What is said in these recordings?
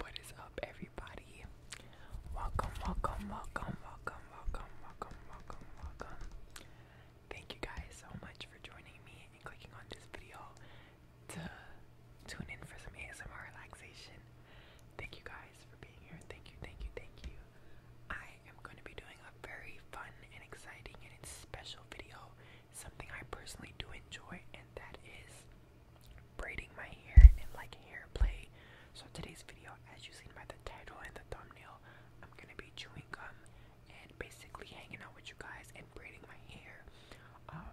What is up, everybody? Welcome, welcome, welcome, welcome, welcome, welcome, welcome, welcome. Thank you guys so much for joining me and clicking on this video to tune in for some ASMR relaxation. Thank you guys for being here. Thank you, thank you, thank you. I am going to be doing a very fun and exciting and special video, something I personally do enjoy, and that is braiding my hair and like hair play. So today's video, as you seen by the title and the thumbnail, I'm gonna be chewing gum and basically hanging out with you guys and braiding my hair. Um,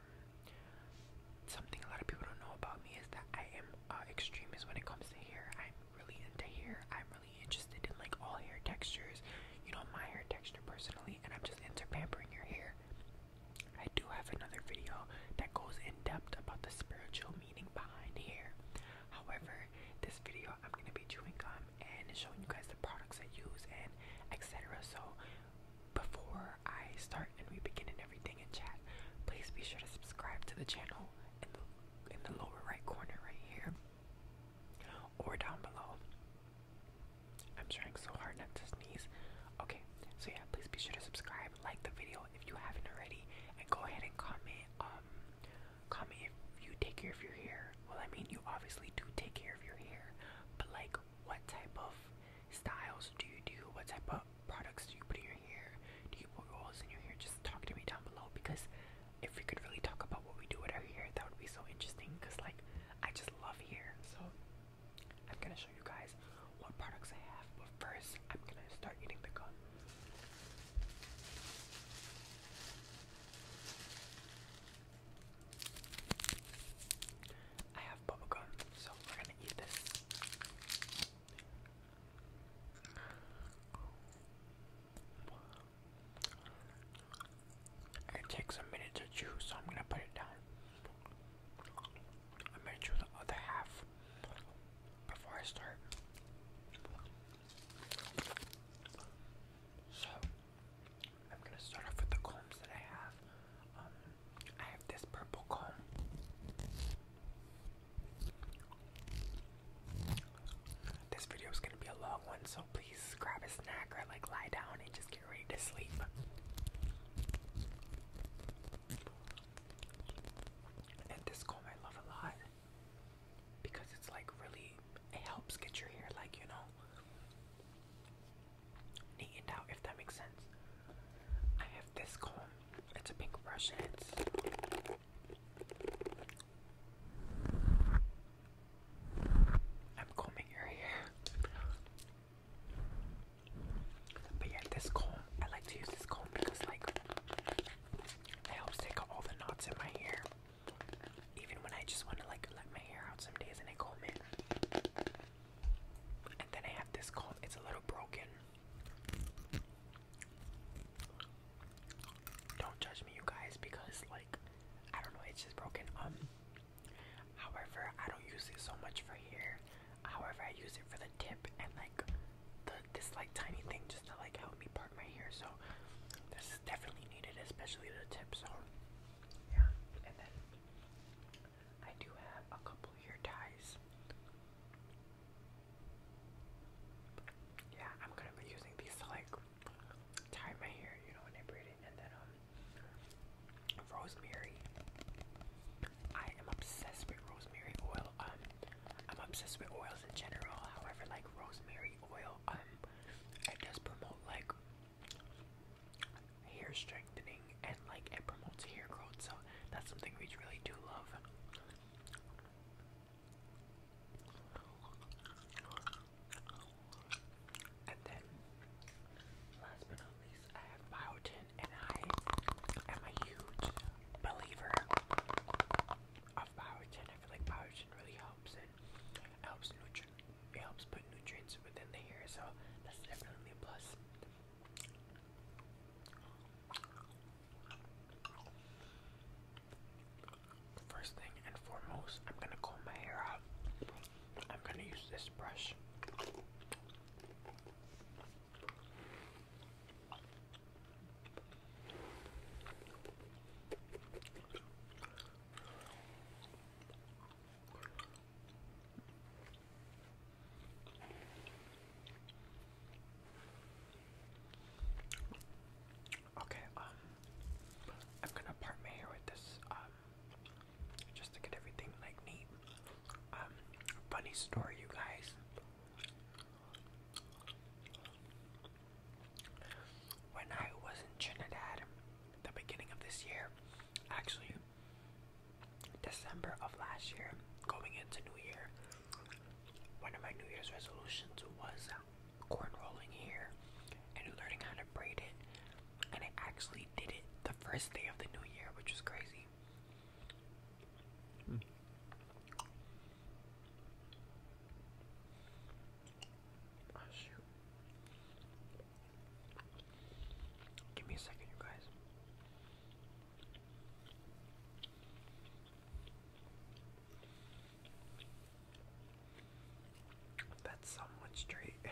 something a lot of people don't know about me is that I am uh, extremist when it comes to hair. I'm really into hair. I'm really interested in like all hair textures. You know, my hair texture personally, and I'm just into pampering your hair. I do have another video that goes in depth about the spiritual meaning behind hair. However, this video I'm gonna be doing gum and showing you guys the products I use and etc. So before I start and we begin and everything in chat, please be sure to subscribe to the channel in the in the lower right corner right here or down below. I'm trying so hard not to sneeze. Okay, so yeah, please be sure to subscribe, like the video if you haven't already, and go ahead and comment. Um, comment if you take care of your hair. Well, I mean, you obviously do take care of your hair, but like, what type of styles do you do? What type of products do you put in your hair? Do you put oils in your hair? Just talk to me down below because if we could really talk about what we do with our hair, that would be so interesting. Cause like, I just love hair, so I'm gonna show you guys what products I have, but first I'm gonna start eating the gum. I have bubble gum, so we're gonna eat this. It takes a minute to chew, so I'm gonna put it down. I made sure the other half before I start. So I'm gonna start off with the combs that I have. Um, I have this purple comb. This video is gonna be a long one, so please grab a snack or like lie down and just ready to sleep. I love a lot because it's like really, it helps get your hair like, you know, neatened out if that makes sense. I have this comb, it's a pink brush and it's I'm combing your hair. But yeah, this comb, I like to use this comb because like it helps take out all the knots in my hair. Even when I just want to like let my hair out some days and I comb it. And then I have this comb, it's a little broken. Don't judge me you guys because like I don't know, it's just broken. Um However, I don't use it so much for hair. However, I use it for the tip and like the this like tiny thing just to like help me part my hair. So this is definitely needed, especially the tip. So yeah, and then I do have a couple of hair ties. Yeah, I'm gonna be using these to like tie my hair, you know, when I braid and then um, rosemary. I am obsessed with rosemary oil. Um, I'm obsessed with oils in general. However, like rosemary oil, um, it does promote like hair strengthening and like it promotes hair growth. So that's something we really do love. And then, last but not least, I have biotin, and I am a huge believer of biotin. I feel like biotin really helps and helps nutri it helps put nutrients within the hair, so that's definitely a plus. First thing and foremost, I'm gonna comb my hair out. I'm going to use this brush. Okay, um, I'm gonna part my hair with this, um, just to get everything like neat. Um, funny story, you guys. When I was in Trinidad, the beginning of this year, actually December of last year, going into New Year, one of my New Year's resolutions was uh, corn rolling here and learning how to braid it and I actually did it the first day of the new year, which is crazy. Hmm. Oh, shoot. Give me a second, you guys. That's somewhat straight.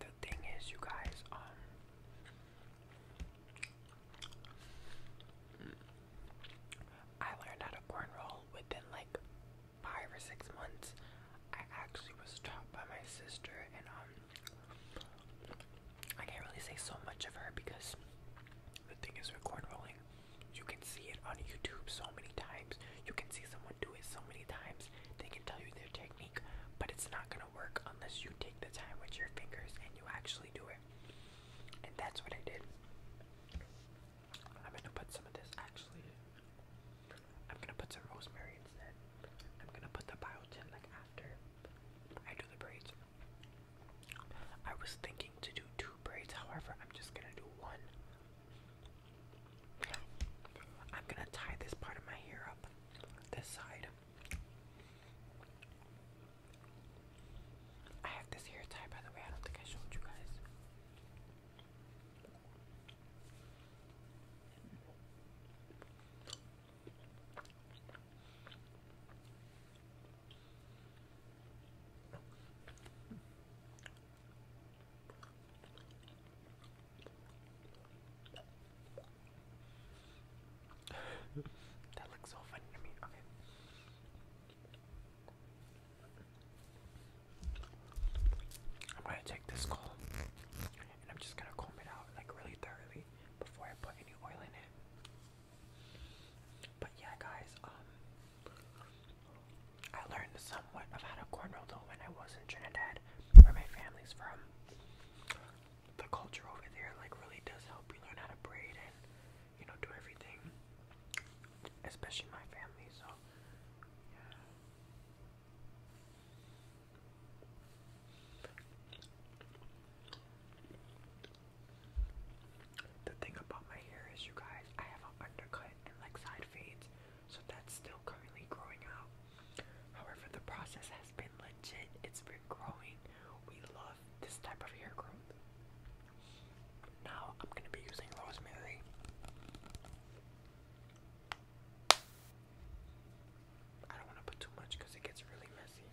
The thing is, you guys, um, I learned how to corn roll within like five or six months. I actually was taught by my sister, and um, I can't really say so much of her because the thing is, with corn rolling, you can see it on YouTube so many times. You can see someone do it so many times. They can tell you their technique, but it's not going to work unless you take the time with your fingers and you actually do it. And that's what I did. I'm going to put some of this actually. I'm going to put some rosemary instead. I'm going to put the biotin like after I do the braids. I was thinking to do two braids, however, I'm just going to do one I'm gonna tie this part of my hair up, this side. I have this hair tie, by the way, I don't think I showed you guys that looks so funny to me. Okay. I'm gonna take this comb and I'm just gonna comb it out like really thoroughly before I put any oil in it. But yeah guys, um, I learned somewhat of how to cornrow though when I was in Trinidad, where my family's from. The culture over there like really does help you learn how to braid and you know do everything, especially my family. So The thing about my hair is, you guys, I have an undercut and like side fades, so that's still currently growing out. However, the process has been legit, it's been growing. We love this type of hair growth. Now I'm going to be using rosemary. I don't want to put too much because it gets really messy.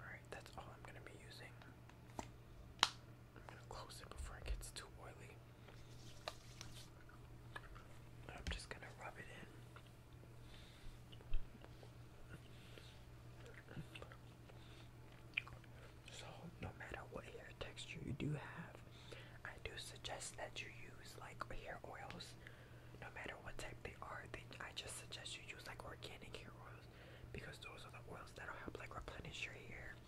Alright, that's all I'm going to be using. I'm going to close it before it gets too oily. I'm just going to rub it in. So, no matter what hair texture you do have, I do suggest that you use like hair oils, no matter what type they are. I just suggest you use like organic hair oils because those are the oils that'll help like replenish your hair.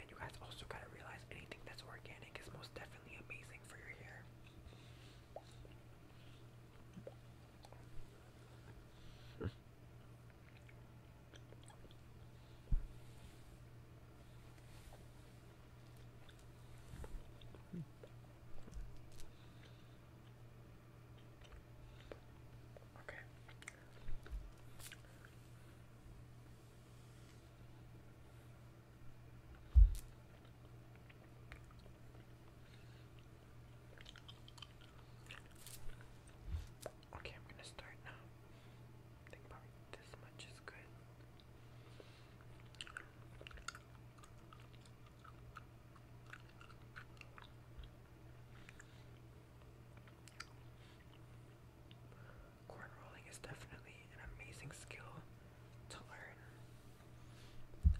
And you guys also gotta realize anything that's organic is most definitely amazing for your hair. Okay. Okay, I'm gonna start now. think probably this much is good. Corn rolling is definitely an amazing skill to learn.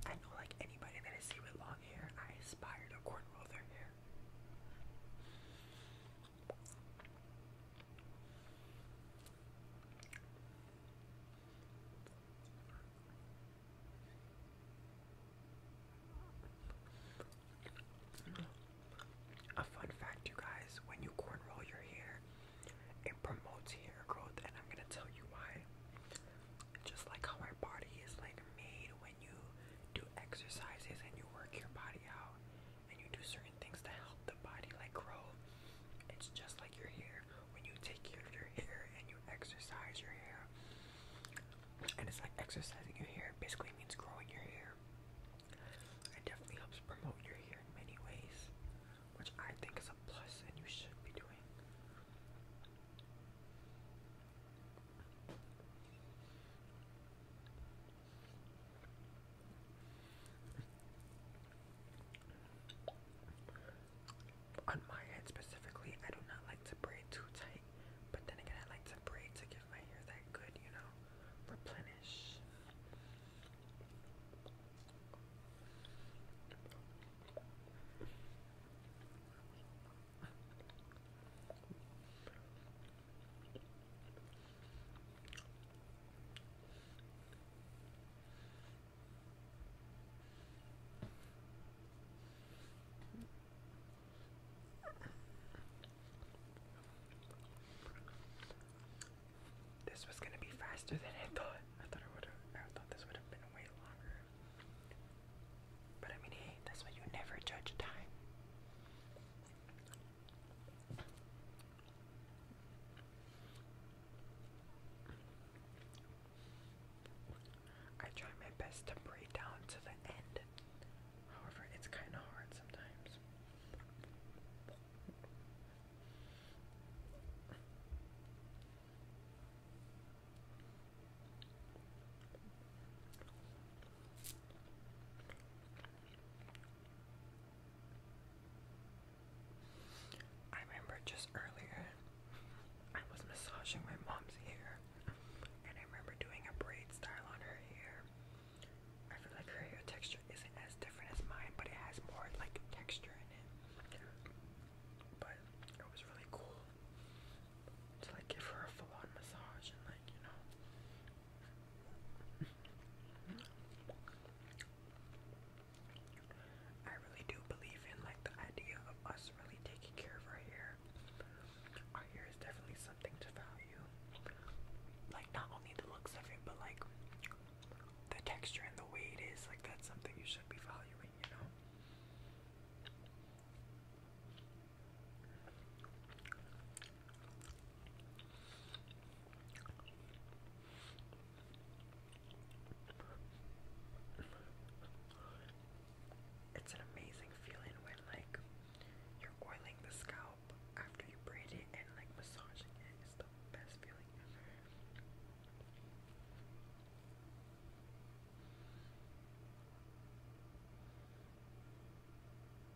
I know, like anybody that I with long hair, I aspire to corn roll their hair. A fun fact, you guys, when you corn roll your hair, it promotes hair growth, and I'm gonna tell you why. Just like how our body is like made when you do exercises and you work your body out, and you do certain things to help the body like grow. It's just like your hair. When you take care of your hair and you exercise your hair, and it's like exercising your hair basically means growing your hair. It definitely helps promote your hair in many ways, which I think is a plus and you should be doing. On my head specifically, I do not like to braid too tight, but then again, I like to braid to give my hair that good, you know, replenish. This was gonna be faster than I thought. I thought it would have. I thought this would have been way longer. But I mean, that's why you never judge time. I try my best to break down to the end. However, it's kind of hard sometimes. I remember just earlier I was massaging my mom's hair and I remember doing a braid style on her hair. I feel like her hair texture isn't as different as mine, but it has more like texture in it. But it was really cool to like give her a full on massage and like, you know, I really do believe in like the idea of us really taking care of our hair. Our hair is definitely something to value. Like not only the looks of it, but like the texture and the weight is like that's something you should be valuing, you know. It's an amazing feeling when like you're oiling the scalp after you braid it and like massaging it is the best feeling ever.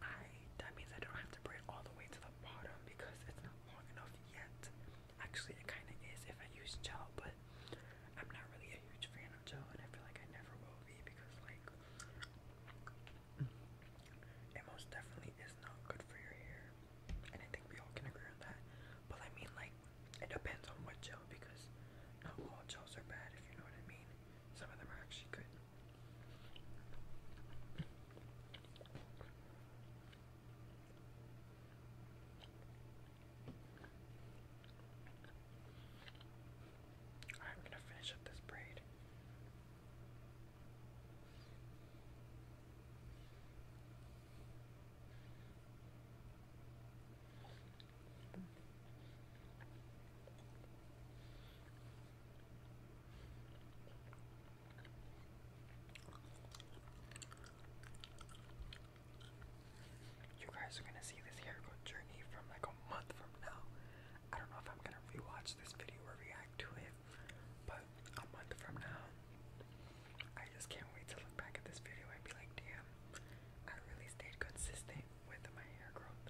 I that means I don't have to braid all the way to the bottom because it's not long enough yet. Actually, it kind of is if I use gel, but I'm not really a huge fan of gel, and I feel like I never will be because like it most definitely is not good for your hair, and I think we all can agree on that. But I mean, like it depends on what gel because not all gels are bad, if you know what I mean. Some of them are actually good. I'm going to finish up this braid. You guys are gonna see this hair growth journey from like a month from now. I don't know if I'm gonna rewatch this video or react to it, but a month from now, I just can't wait to look back at this video and be like, damn, I really stayed consistent with my hair growth.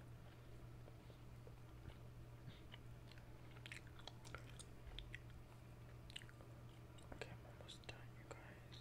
Okay, I'm almost done, you guys.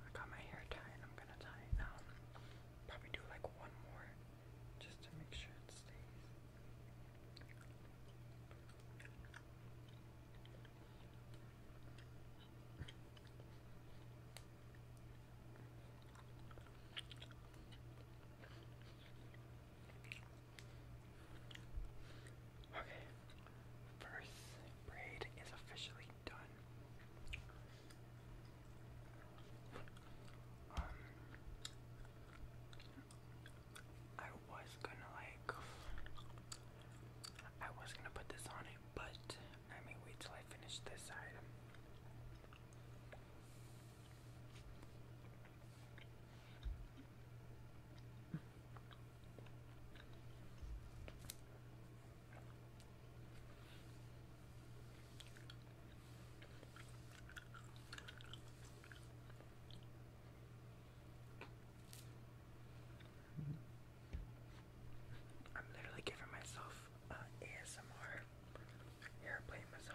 I got my hair tied. I'm gonna tie it now. Probably do like one more just to make sure it stays. Okay, first braid is officially done. Um, I was gonna like, I was gonna put this on it, but I may wait till I finish this side. I'm literally giving myself an uh, ASMR airplane massage.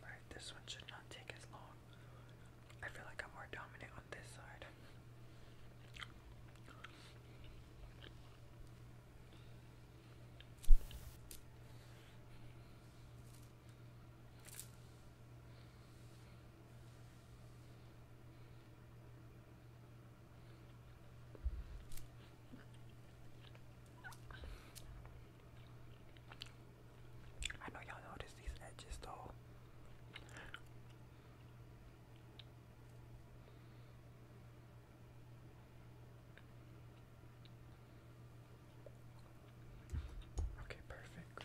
Alright, this one should not take as long. I feel like I'm more dominant on this side. I know y'all notice these edges though. Okay, perfect.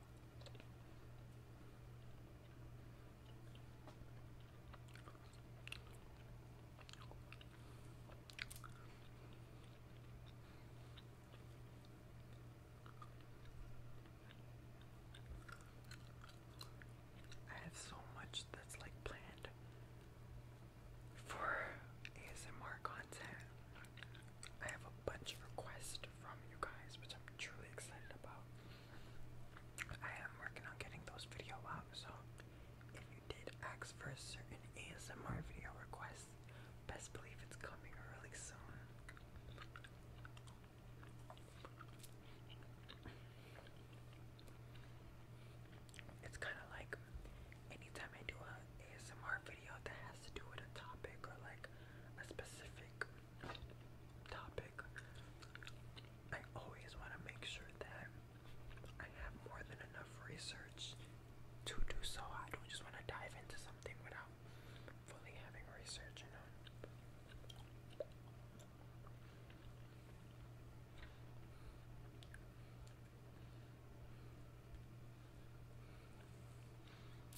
I have so much that's like planned for ASMR content. I have a bunch of requests from you guys, which I'm truly excited about. I am working on getting those video out, so if you did ask for a certain ASMR video request, best believe it's coming really soon. It's kind of like anytime I do an ASMR video that has to do with a topic or like a specific topic, I always want to make sure that I have more than enough research to do so. I don't just want to dive into something without fully having research, you know.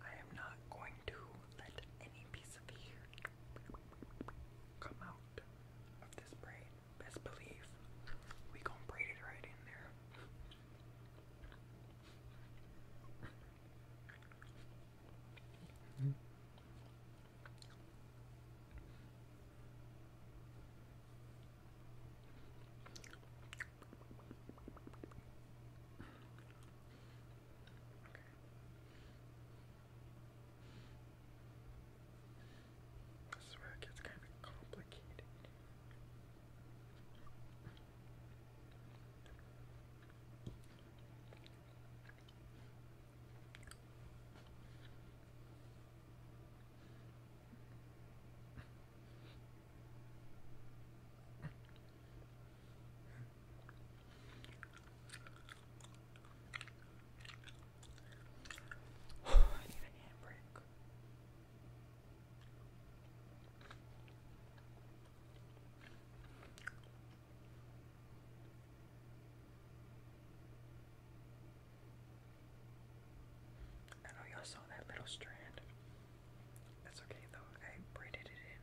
I am not going to let any piece of hair come out of this braid. Best believe we gonna braid it right in there. Mm -hmm. Okay. This is where it gets kind of complicated. I need a handbrake. I know y'all saw that little strand. That's okay though, I braided it in.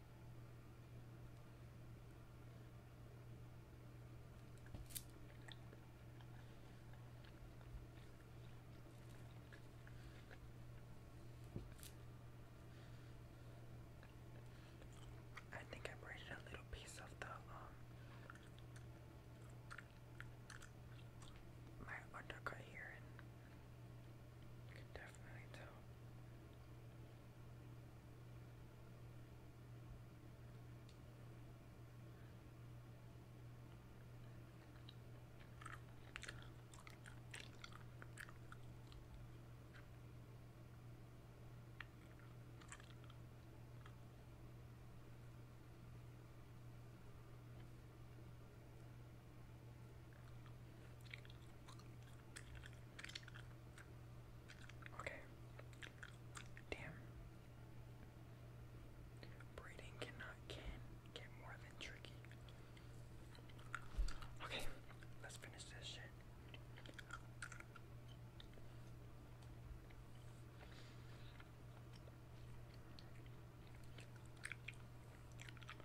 I think I braided a little piece of the um, my undercut here you can definitely tell. Okay. Damn. Breeding cannot can get more than tricky. Okay, let's finish this shit.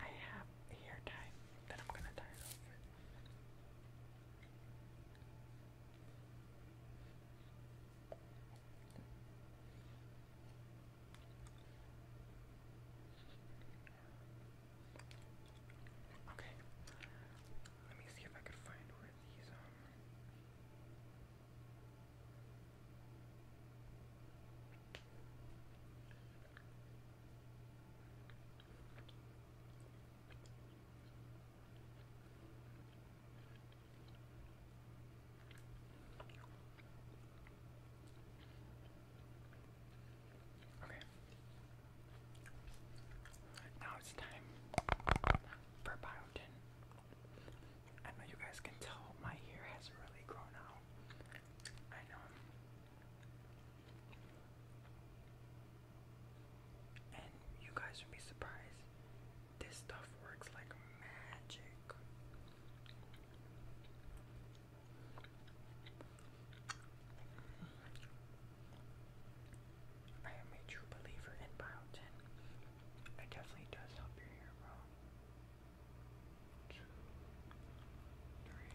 I have a hair tie that I'm gonna tie it off Okay. Let me see if I could find where are these Okay. Now it's time for biotin. I know you guys can tell my hair has really grown out. I know. And you guys would be surprised. This stuff works like magic. I am a true believer in biotin. It definitely does help your hair grow. Two, three.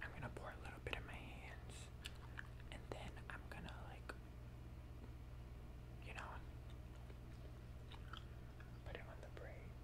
I'm gonna pour a little bit in my hands and then I'm gonna like you know put it on the braids.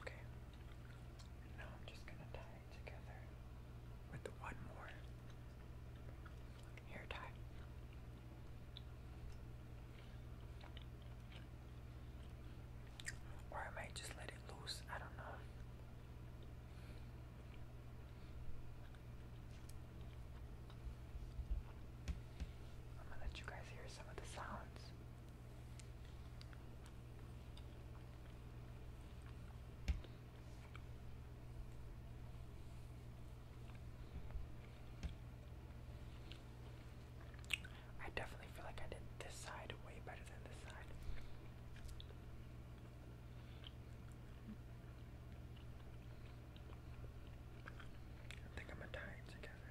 Okay. And now I'm just going to tie together with the one more hair tie. Or I might just let it loose, I don't know. I'm gonna let you guys hear some of the sounds. I definitely feel like I did this side way better than this side. I think I'm gonna tie it together.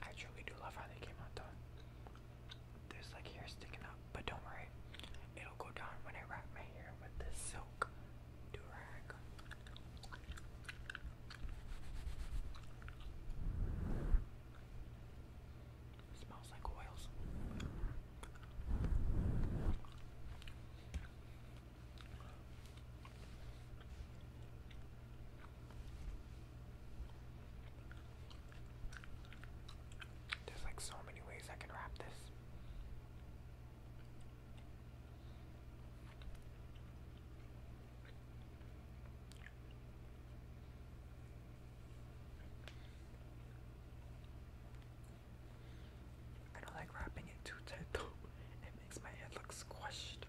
I truly do love how they came out though. There's like hair sticking up, but don't worry, it'll go down when I wrap my hair with this silk do rag. smells like oils. There's like so many ways I can wrap this. I don't like wrapping it too tight though. It makes my head look squished.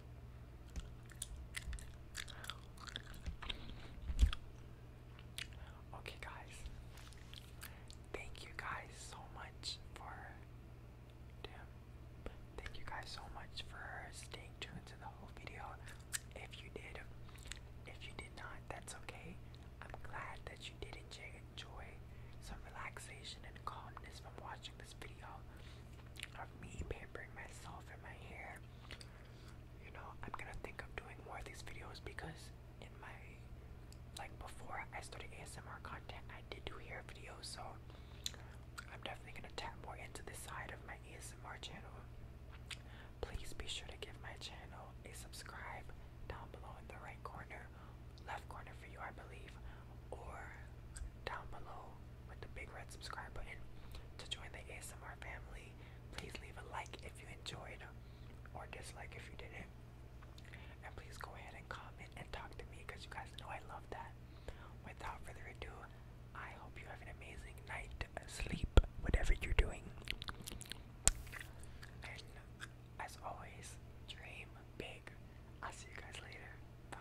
Okay, guys. Thank you guys so much for. Damn. Thank you guys so much for staying tuned to the whole video. If you did, if you did not, that's okay. I'm glad that you did enjoy some relaxation and calmness from watching this video of me pampering myself and my hair you know, I'm gonna think of doing more of these videos because in my like before I started ASMR content, I did do hair videos, so I'm definitely gonna tap more into this side of my ASMR channel. Please be sure to give my channel a subscribe down below in the right corner, left corner for you, I believe, or down below with the big red subscribe button to join the ASMR family. Please leave a like if you enjoyed or dislike if you didn't. And please go ahead and comment and talk to me because you guys know I love that. Without further ado, I hope you have an amazing night sleep, whatever you're doing. And as always, dream big. I'll see you guys later. Bye.